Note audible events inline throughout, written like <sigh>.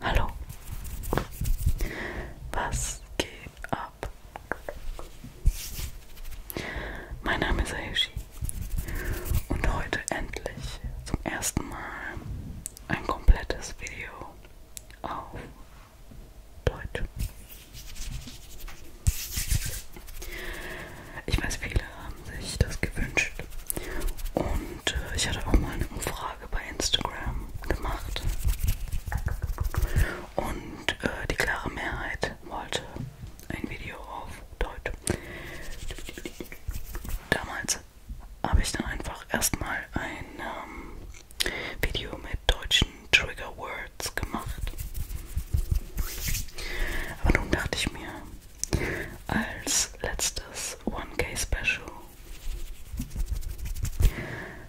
Hallo. Was geht ab? Mein Name ist Ayoshi und heute endlich zum ersten Mal ein komplettes Video auf Deutsch. Ich weiß, viele haben sich das gewünscht und äh, ich hatte auch mal eine Umfrage bei Instagram gemacht und äh, die klare Mehrheit wollte ein Video auf Deutsch. Damals habe ich dann einfach erstmal ein ähm, Video mit deutschen Trigger Words gemacht. Aber nun dachte ich mir, als letztes 1K Special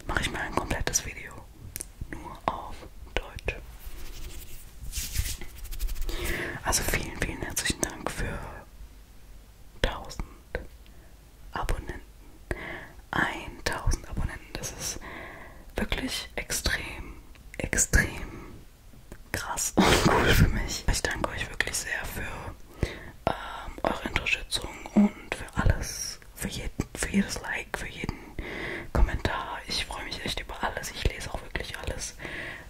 mache ich mal ein komplettes Video nur auf Deutsch. Also vielen, vielen herzlichen Dank für 1000 Abonnenten. 1000 Abonnenten, das ist wirklich extrem, extrem krass <laughs> und cool für mich. Ich danke euch wirklich sehr für ähm, eure Unterstützung und für alles, für, jeden, für jedes Like, für jeden Kommentar. Ich freue mich echt über alles. Ich lese auch wirklich alles.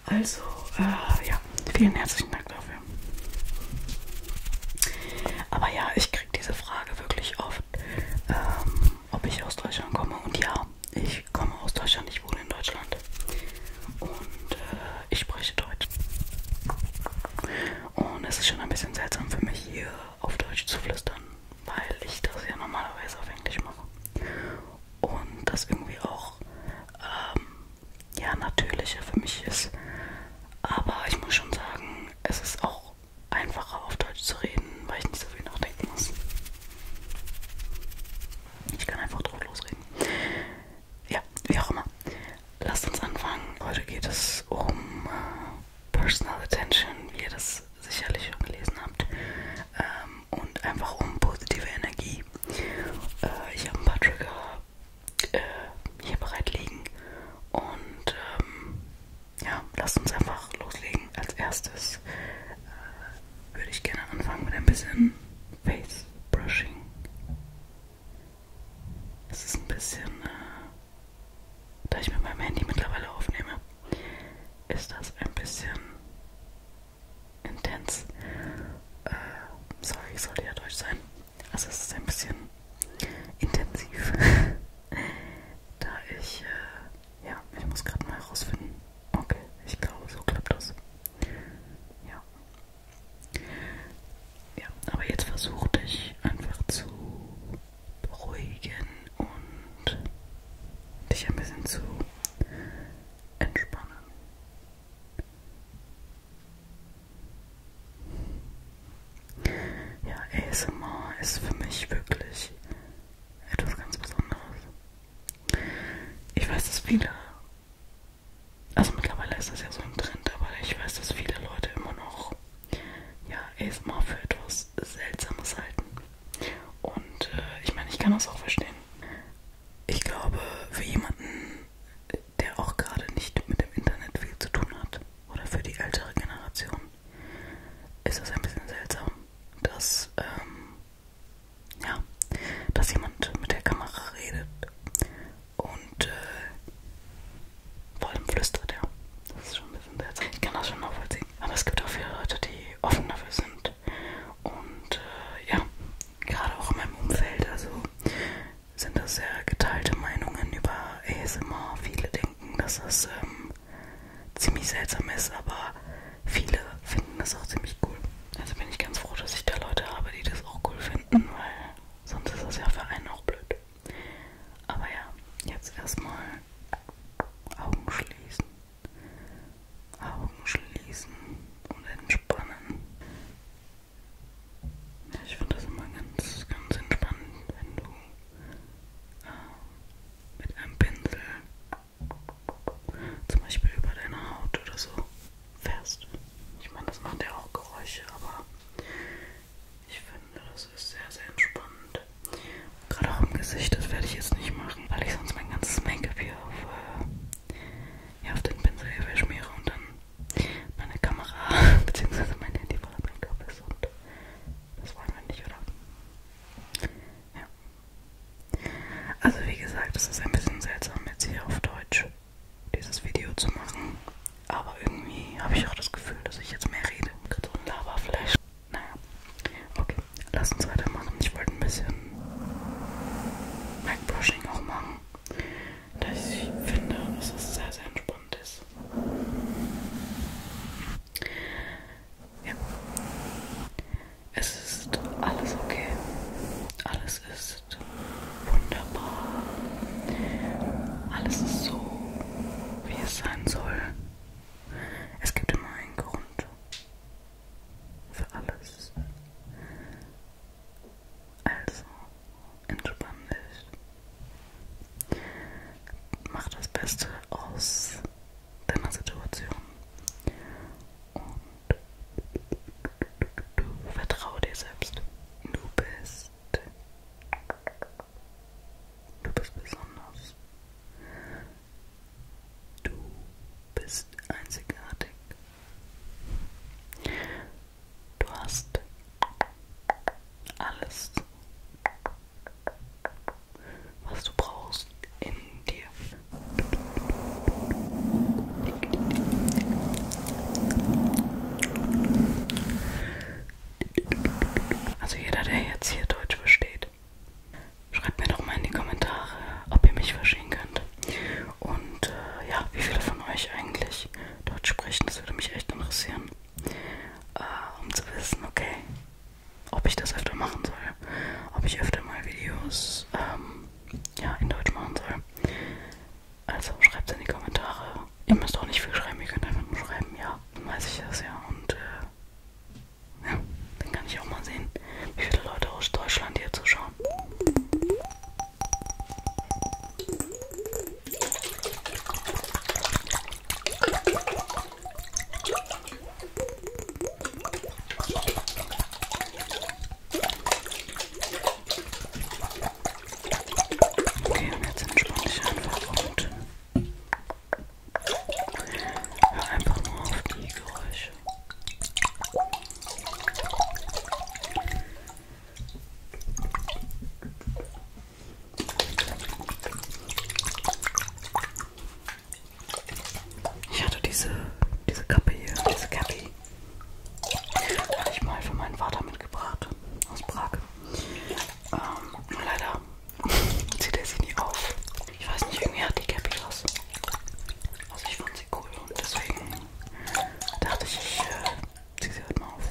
Also, äh, ja, vielen herzlichen Dank dafür. Aber ja, ich kriege diese Frage wirklich oft, ähm, ob ich aus Deutschland komme. Und ja, ich komme aus Deutschland, ich wohne in Deutschland. Und äh, ich spreche Deutsch. Und es ist schon ein bisschen seltsam für mich, hier auf Deutsch zu flüstern, weil ich das ja normalerweise auf Englisch mache und das irgendwie auch ähm, ja, natürlicher für mich ist. Aber ich muss schon sagen, es ist auch einfacher auf Deutsch zu reden, weil ich nicht so viel nachdenken muss. Ich kann einfach drauf losreden. Ja, wie auch immer. Lasst uns anfangen. Heute geht es um äh, Personal Attention, wie ihr das sicherlich schon gelesen habt. Ähm, und einfach um positive Energie. Äh, ich habe ein paar Trigger äh, hier bereit liegen und ähm, ja, lasst uns einfach loslegen. Als erstes äh, würde ich gerne anfangen mit ein bisschen Face Brushing. Es ist ein bisschen, äh, da ich mit meinem Handy mittlerweile aufnehme, ist das ein bisschen intens. Äh, sorry, sollte ja Deutsch sein. Also es ist ein bisschen intensiv. <laughs> da ich, äh, ja, ich muss gerade mal herausfinden. Okay, ich glaube, so klappt das. Ja. Ja, aber jetzt versuche dich einfach zu beruhigen und dich ein bisschen zu entspannen. Ja, ASMR ist für mich wirklich etwas ganz Besonderes. Ich weiß, dass viele, also mittlerweile ist das ja so ein Trend, aber ich weiß, dass viele Leute immer noch ja, ASMR für etwas Seltsames halten. Und äh, ich meine, ich kann das auch verstehen. Ich glaube, für jemanden, der auch gerade nicht mit dem Internet viel zu tun hat, oder für die ältere Generation, ist es ein bisschen seltsam, dass, ähm, ja, dass jemand mit der Kamera redet und äh, vor allem flüstert, ja. Das ist schon ein bisschen seltsam. Ich kann das schon nachvollziehen. Aber es gibt auch viele Leute, die offen dafür sind. Und äh, ja, gerade auch in meinem Umfeld, also sind das sehr geteilte Meinungen über ASMR. Viele denken, dass das ähm, ziemlich seltsam ist, aber viele finden das auch ziemlich cool. Also bin ich ganz froh, dass ich da Leute habe, die das auch cool finden, weil sonst ist das ja für einen auch blöd. Aber ja, jetzt erstmal Augen schließen. Augen schließen und entspannen. Ich finde das immer ganz, ganz entspannend, wenn du äh, mit einem Pinsel zum Beispiel über deine Haut oder so fährst. Ich meine, das macht ja auch Geräusche, aber ich finde, das ist sehr, sehr entspannend. Gerade auch im Gesicht, das werde ich jetzt nicht machen, weil ich sonst mein ganzes Make-up hier auf, äh, ja, auf den Pinsel hier verschmiere und dann meine Kamera <laughs> bzw. mein Handy voller Make-up ist und das wollen wir nicht, oder? Ja. Also wie gesagt, es ist ein bisschen seltsam jetzt hier auf Deutsch dieses Video zu machen, aber irgendwie habe ich auch das Gefühl, dass ich jetzt mehr rede. Gerade so ein Laberflash. Naja. Okay, lass uns weitermachen. Ich wollte ein bisschen Backbrushing auch machen, da ich finde, dass es sehr, sehr entspannt ist. Ja. Es ist alles okay. Alles ist wunderbar. Alles ist so, wie es sein soll. Es gibt immer einen Grund für alles. Also, entspann dich. Mach das Beste aus deiner Situation. Und du vertraue dir selbst. Du bist. Du bist besonders. Du bist einzigartig. Du hast alles, was du brauchst in dir. Also jeder, der jetzt hier Deutsch versteht, Schreibt mir doch mal in die Kommentare, ob ihr mich verstehen könnt. Und äh, ja, wie viele von euch eigentlich Deutsch sprechen, das würde mich echt interessieren. Äh, um zu wissen, okay, ob ich das öfter machen soll. Ob ich öfter mal Videos ähm, ja, in Deutsch machen soll. Also schreibt es in die Kommentare. Ihr müsst auch nicht viel schreiben, ihr könnt einfach nur schreiben, ja. Dann weiß ich das ja. Und äh, ja, dann kann ich auch mal sehen, wie viele Leute aus Deutschland hier zuschauen. Okay, und jetzt entspann dich einfach und hör einfach nur auf die Geräusche. Fleisch. Ich hatte diese, diese Kappe hier, diese Kappe. Habe ich mal für meinen Vater mitgebracht aus Prag. Ähm, leider <laughs> zieht er sie nie auf. Ich weiß nicht, irgendwie hat die Cappy was. Also ich fand sie cool und deswegen dachte ich, ich äh, ziehe sie heute halt mal auf.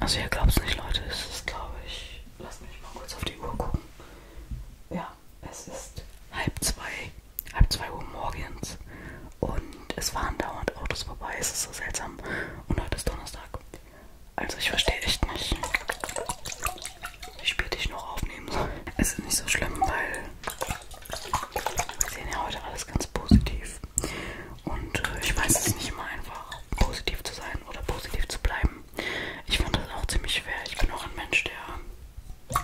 Also ihr glaubt es nicht, Leute. Es ist, glaube ich... Lasst mich mal kurz auf die Uhr gucken. Ja, es ist halb zwei. Halb zwei Uhr morgens. Und es fahren dauernd Autos vorbei. Es ist so seltsam. Und heute ist Donnerstag. Also ich verstehe echt nicht, wie spät ich noch aufnehmen soll. Es ist nicht so schlimm, weil wir sehen ja heute alles ganz positiv. Und äh, ich weiß es nicht immer einfach positiv zu sein oder positiv zu bleiben. Ich fand das auch ziemlich schwer. Ich bin auch ein Mensch, der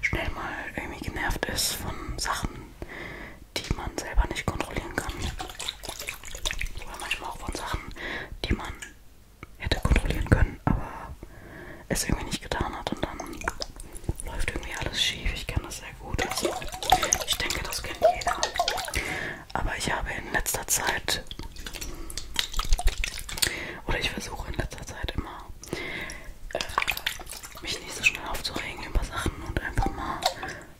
schnell mal irgendwie genervt ist von Sachen, die man selber nicht kontrollieren kann. Oder manchmal auch von Sachen, die man hätte kontrollieren können, aber es irgendwie nicht getan hat und dann läuft irgendwie alles schief. Ich kenne das sehr gut. Also, ich denke, das kennt jeder. Aber ich habe in letzter Zeit, oder ich versuche in letzter Zeit immer, äh, mich nicht so schnell aufzuregen über Sachen und einfach mal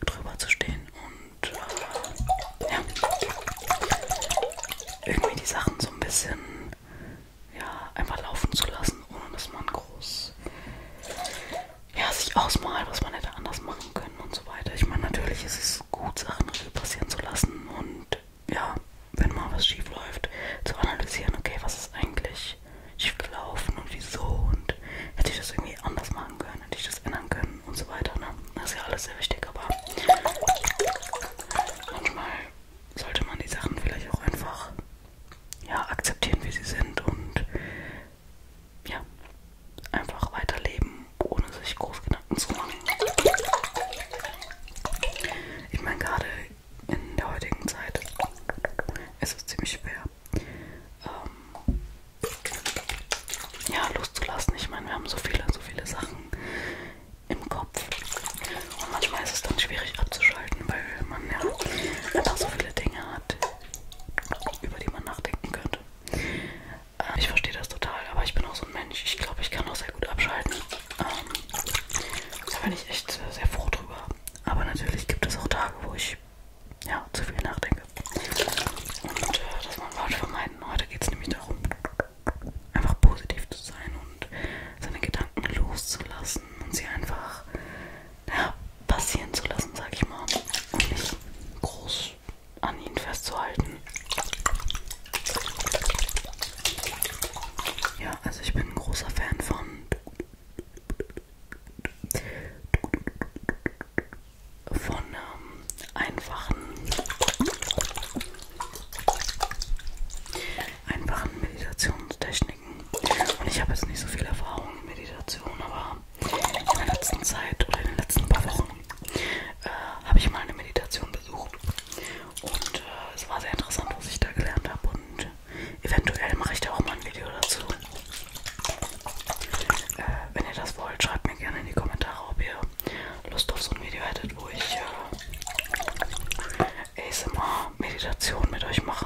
drüber zu stehen und äh, ja, irgendwie die Sachen so ein bisschen ja, einfach laufen zu lassen, ohne dass man groß ja, sich ausmalt, was man hätte anders machen können und so weiter. Ich meine, natürlich ist es gut, Sachen passieren zu lassen und ja, wenn mal was schief läuft, zu analysieren, okay, was ist eigentlich schief gelaufen und wieso und hätte ich das irgendwie anders machen können, hätte ich das ändern können und so weiter. Ne? Das ist ja alles sehr wichtig, aber manchmal sollte man die Sachen vielleicht auch einfach ja, akzeptieren, wie sie sind und ja, einfach weiterleben, ohne sich groß Gedanken zu machen. Ich meine, gerade in der heutigen Zeit ist es ziemlich schwer, ähm, ja, loszulassen. Ich meine, wir haben so viele, so viele Sachen im Kopf. Und manchmal ist es dann schwierig abzuschalten, weil man ja einfach so viele Dinge hat, über die man nachdenken könnte. Äh, ich verstehe das total, aber ich bin auch so ein Mensch. Ich glaube, ich kann auch sehr gut abschalten. Ähm, da bin ich echt äh, sehr froh drüber. Aber natürlich gibt es auch Tage, wo ich ja, zu viel nachdenke. Und äh, das wollen wir heute vermeiden. Heute geht es nämlich darum, einfach positiv zu sein und seine Gedanken loszulassen und sie einfach passieren zu lassen, sag ich mal. Und nicht groß an ihn festzuhalten. Ja, also ich bin ein großer Fan von von ähm, einfachen einfachen Meditationstechniken. Und ich habe jetzt nicht so viel Erfahrung in Meditation, aber in der letzten Zeit oder in den letzten paar Wochen äh, habe ich mal eine Meditation besucht und äh, es war sehr interessant, was ich da gelernt habe und eventuell mache ich da auch mal ein Video dazu. Äh, wenn ihr das wollt, schreibt mir gerne in die Kommentare, ob ihr Lust auf so ein Video hättet, wo ich äh, ASMR-Meditation mit euch mache.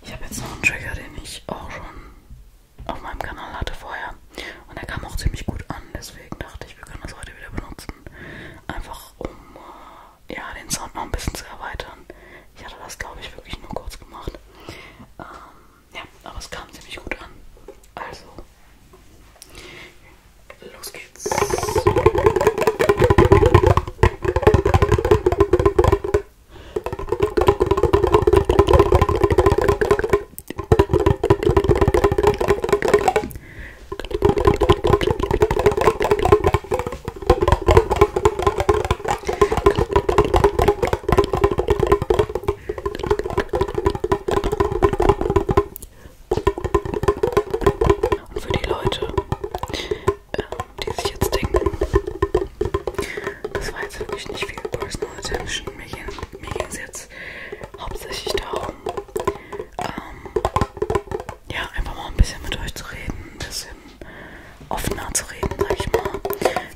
Ich habe jetzt noch einen Trigger, den ich auch schon auf meinem Kanal hatte vorher. Und der kam auch ziemlich gut an, deswegen dachte ich, wir können das heute wieder benutzen. Einfach um äh, ja, den Sound noch ein bisschen zu erweitern. Ich hatte das, glaube ich, wirklich nur kurz gemacht. Ähm, ja, aber es kam ziemlich gut an. Also, los geht's. Und für die Leute, äh, die sich jetzt denken, das war jetzt wirklich nicht viel Personal Attention, mir ging es jetzt hauptsächlich darum, ähm, ja, einfach mal ein bisschen mit euch zu reden, ein bisschen offener zu reden, sag ich mal.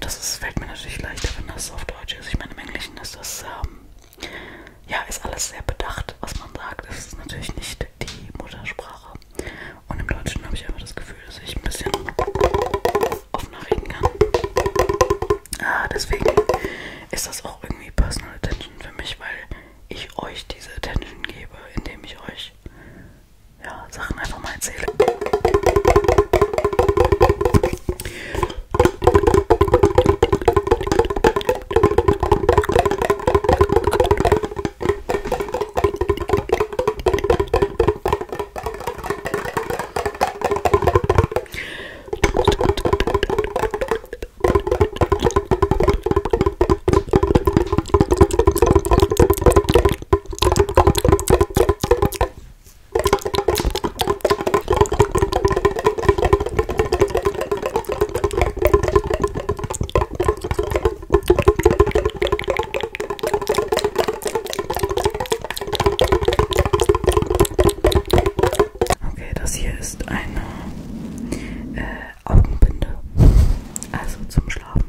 Das ist, fällt mir natürlich leichter, wenn das auf Deutsch ist. Ich meine, im Englischen ist das, ähm, ja, ist alles sehr bedacht, was man sagt. Es ist natürlich nicht die Muttersprache. Und im Deutschen habe ich einfach das Gefühl, dass ich ein bisschen offener reden kann. Ah, deswegen ist das auch irgendwie Personal Attention für mich, weil ich euch diese Attention gebe, indem ich euch ja, Sachen einfach mal erzähle. Okay, das hier ist eine äh, Augenbinde, also zum Schlafen.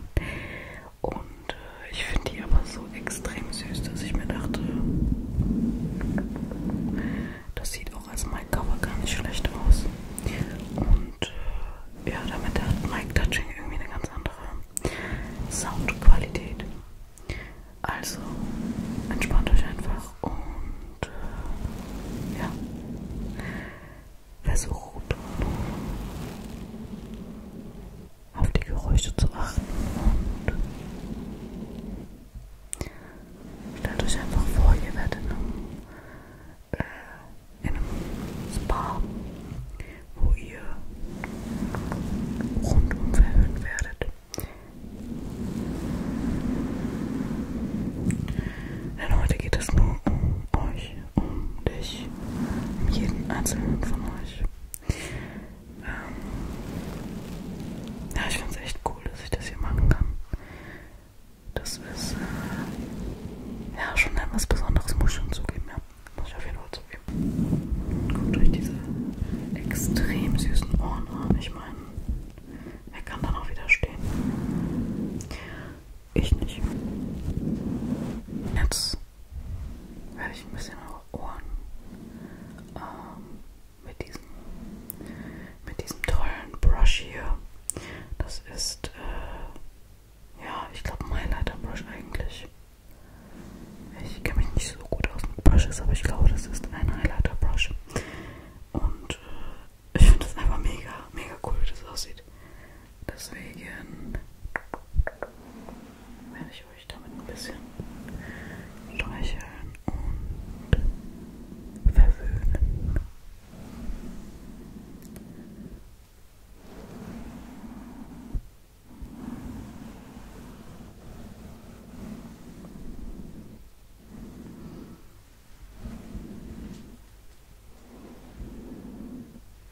Und äh, ich finde die aber so extrem süß, dass ich mir dachte, das sieht auch als mein Cover gar nicht schlecht aus. Und äh, ja, damit hat Mike Touching irgendwie eine ganz andere Soundqualität. Also entspannt euch einfach und äh, ja, versucht auf die Geräusche zu achten und stellt euch einfach vor, ihr werdet in einem, äh, in einem Spa, wo ihr rundum verhöhnt werdet. Denn heute geht es nur um euch, um dich, um jeden einzelnen von euch. Ähm, ja, ich finde es echt cool, dass ich das hier machen kann. Das ist äh, ja schon etwas Besonderes, muss ich schon zugeben. Ja. Muss ich auf jeden Fall zugeben. Guckt euch diese extrem süßen Ohren an. Ich meine, wer kann dann auch wieder stehen? Ich nicht. Jetzt habe ich ein bisschen eure Ohren ähm, mit, diesem, mit diesem tollen Brush hier. Das ist, äh, ja, ich glaube, mein Lighter Brush eigentlich. Ich kenne mich nicht so gut aus mit Brushes, aber ich glaube, das ist ein Highlighter Brush. Und äh, ich finde das einfach mega, mega cool, wie das aussieht. Deswegen werde ich euch damit ein bisschen streicheln und verwöhnen. Lasst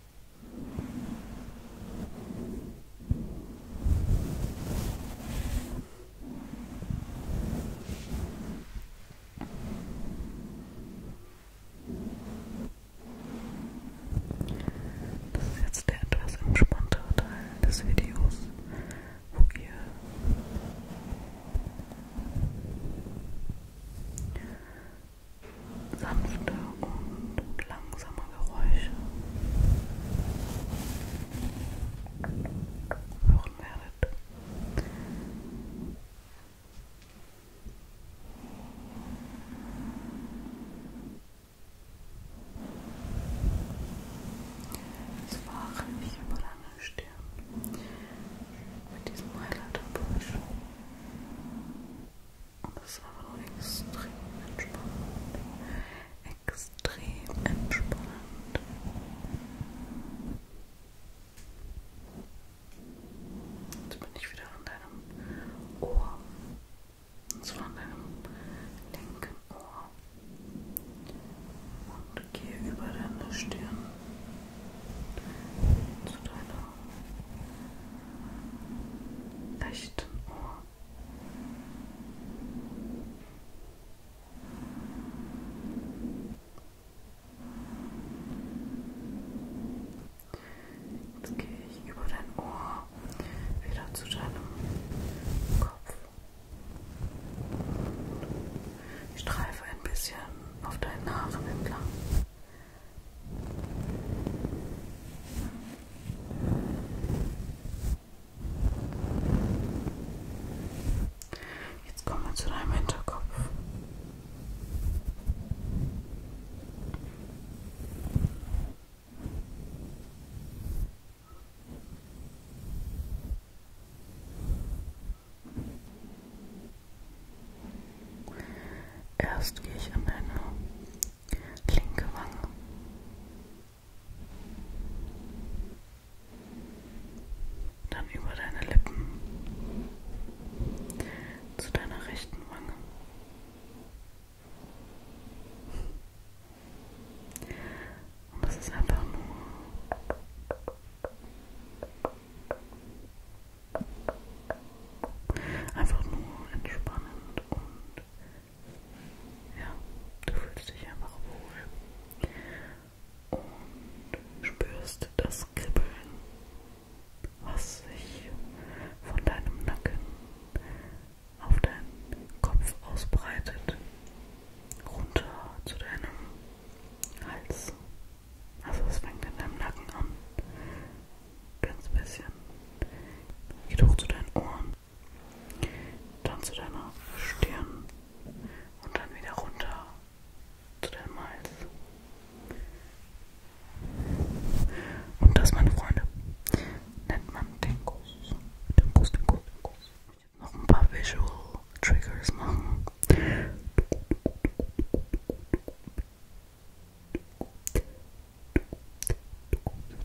Das ist jetzt der etwas entspanntere Teil des Videos, wo ihr sanfte und langsame Geräusche hören werdet. Es war ich über lange Stirn mit diesem Highlighter-Busch. Und das ist einfach nur extrem entspannend. Extrem entspannend. Jetzt bin ich wieder an deinem Ohr. Und zwar an deinem linken Ohr. Und gehe über deine Stirn zu deiner rechten Ohr. Jetzt gehe ich über dein Ohr wieder zu deinem Kopf. Ich streife ein bisschen auf deinen Haaren entlang. Jetzt kommen wir zu deinem Hinterkopf. Erst gehe ich an deine linke Wange. Dann über deine Lippen zu deiner rechten Wange. Und das ist einfach nur einfach nur entspannend und ja, du fühlst dich einfach wohl und spürst das Kribbeln, was sich von deinem Nacken auf deinen Kopf ausbreitet, runter zu deinem Hals. Also es fängt in deinem Nacken an ganz bisschen. Geht hoch zu deinen Ohren, dann zu deiner Stirn und dann wieder runter zu deinem Hals. Und das, meine Freunde, nennt man den Kuss. Den Kuss, den Kuss, den Kuss. Ich jetzt noch ein paar Visual Triggers machen.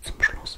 Zum Schluss.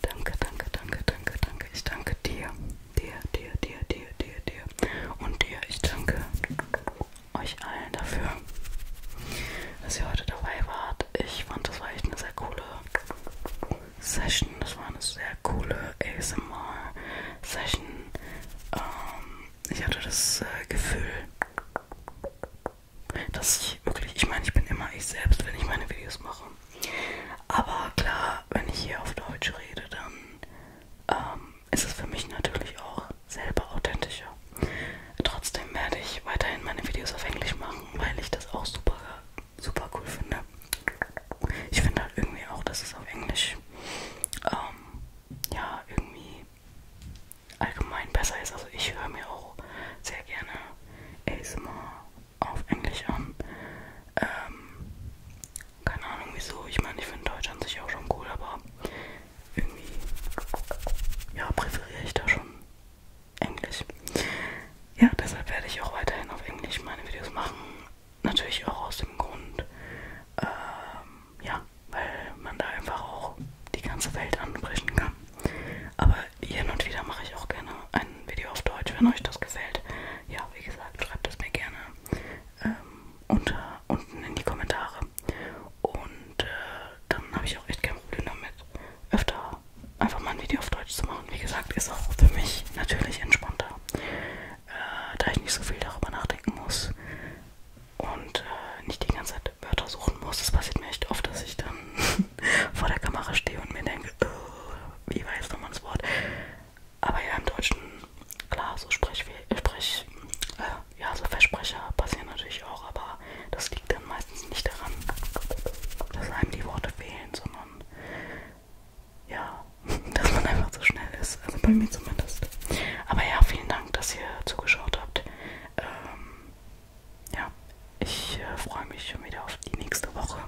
Danke, danke, danke, danke, danke. Ich danke dir, dir, dir, dir, dir, dir, dir und dir. Ich danke euch allen dafür, dass ihr heute dabei wart. Ich fand, das war echt eine sehr coole Session. Das war eine sehr coole ASMR-Session. Ähm, ich hatte das äh, Gefühl, dass ich wirklich, ich meine, ich bin immer ich selbst, wenn ich meine Videos mache. Aber klar, wenn ich hier auf Deutsch rede, dann ähm, ist es für mich natürlich auch selber authentischer. Trotzdem werde ich weiterhin meine Videos auf Englisch machen, weil ich das auch super, super cool finde. Ich finde halt irgendwie auch, dass es auf Englisch ähm, ja irgendwie allgemein besser ist. Also ich höre mir auch sehr gerne ASMR auf Englisch an. Ähm, keine Ahnung wieso. Ich meine, ich finde Deutschland sich auch schon cool, aber irgendwie ja, präferiere ich da schon Englisch. Ja, deshalb werde ich auch weiterhin auf Englisch meine Videos machen. Natürlich auch aus dem Grund, ähm, ja, weil man da einfach auch die ganze Welt anbrechen kann. Aber hin und wieder mache ich auch gerne ein Video auf Deutsch, wenn euch das gefällt. Ja, wie gesagt, schreibt es mir gerne ähm, unter, unten in die Kommentare. Haare. Und äh, dann habe ich auch echt kein Problem damit, öfter einfach mal ein Video auf Deutsch zu machen. Wie gesagt, ist auch für mich natürlich entspannter, äh, da ich nicht so viel darüber nachdenken muss und äh, nicht die ganze Zeit Wörter suchen muss. Es passiert mir echt oft, dass ich dann <laughs> vor der Kamera stehe und mir denke, oh, wie war jetzt nochmal das Wort? Aber ja, im Deutschen Klar, so Sprech, Sprech äh, ja, so Versprecher passieren natürlich auch, aber das liegt dann meistens nicht daran, dass einem die Worte fehlen, sondern ja, <laughs> dass man einfach so schnell ist. Also bei mir zumindest. Aber ja, vielen Dank, dass ihr zugeschaut habt. Ähm, ja, ich äh, freue mich schon wieder auf die nächste Woche.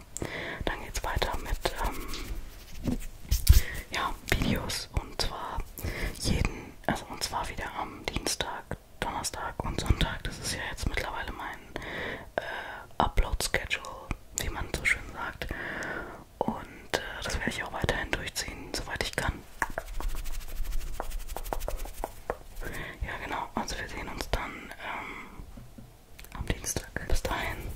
Dann geht's weiter mit ähm, ja, Videos und zwar jeden, also und zwar wieder am Dienstag, Donnerstag und Sonntag. Das ist ja jetzt mittlerweile mein äh, Upload-Schedule, wie man so schön sagt. Und äh, das werde ich auch weiterhin durchziehen, soweit ich kann. Ja, genau. Also wir sehen uns dann ähm, am Dienstag. Bis dahin.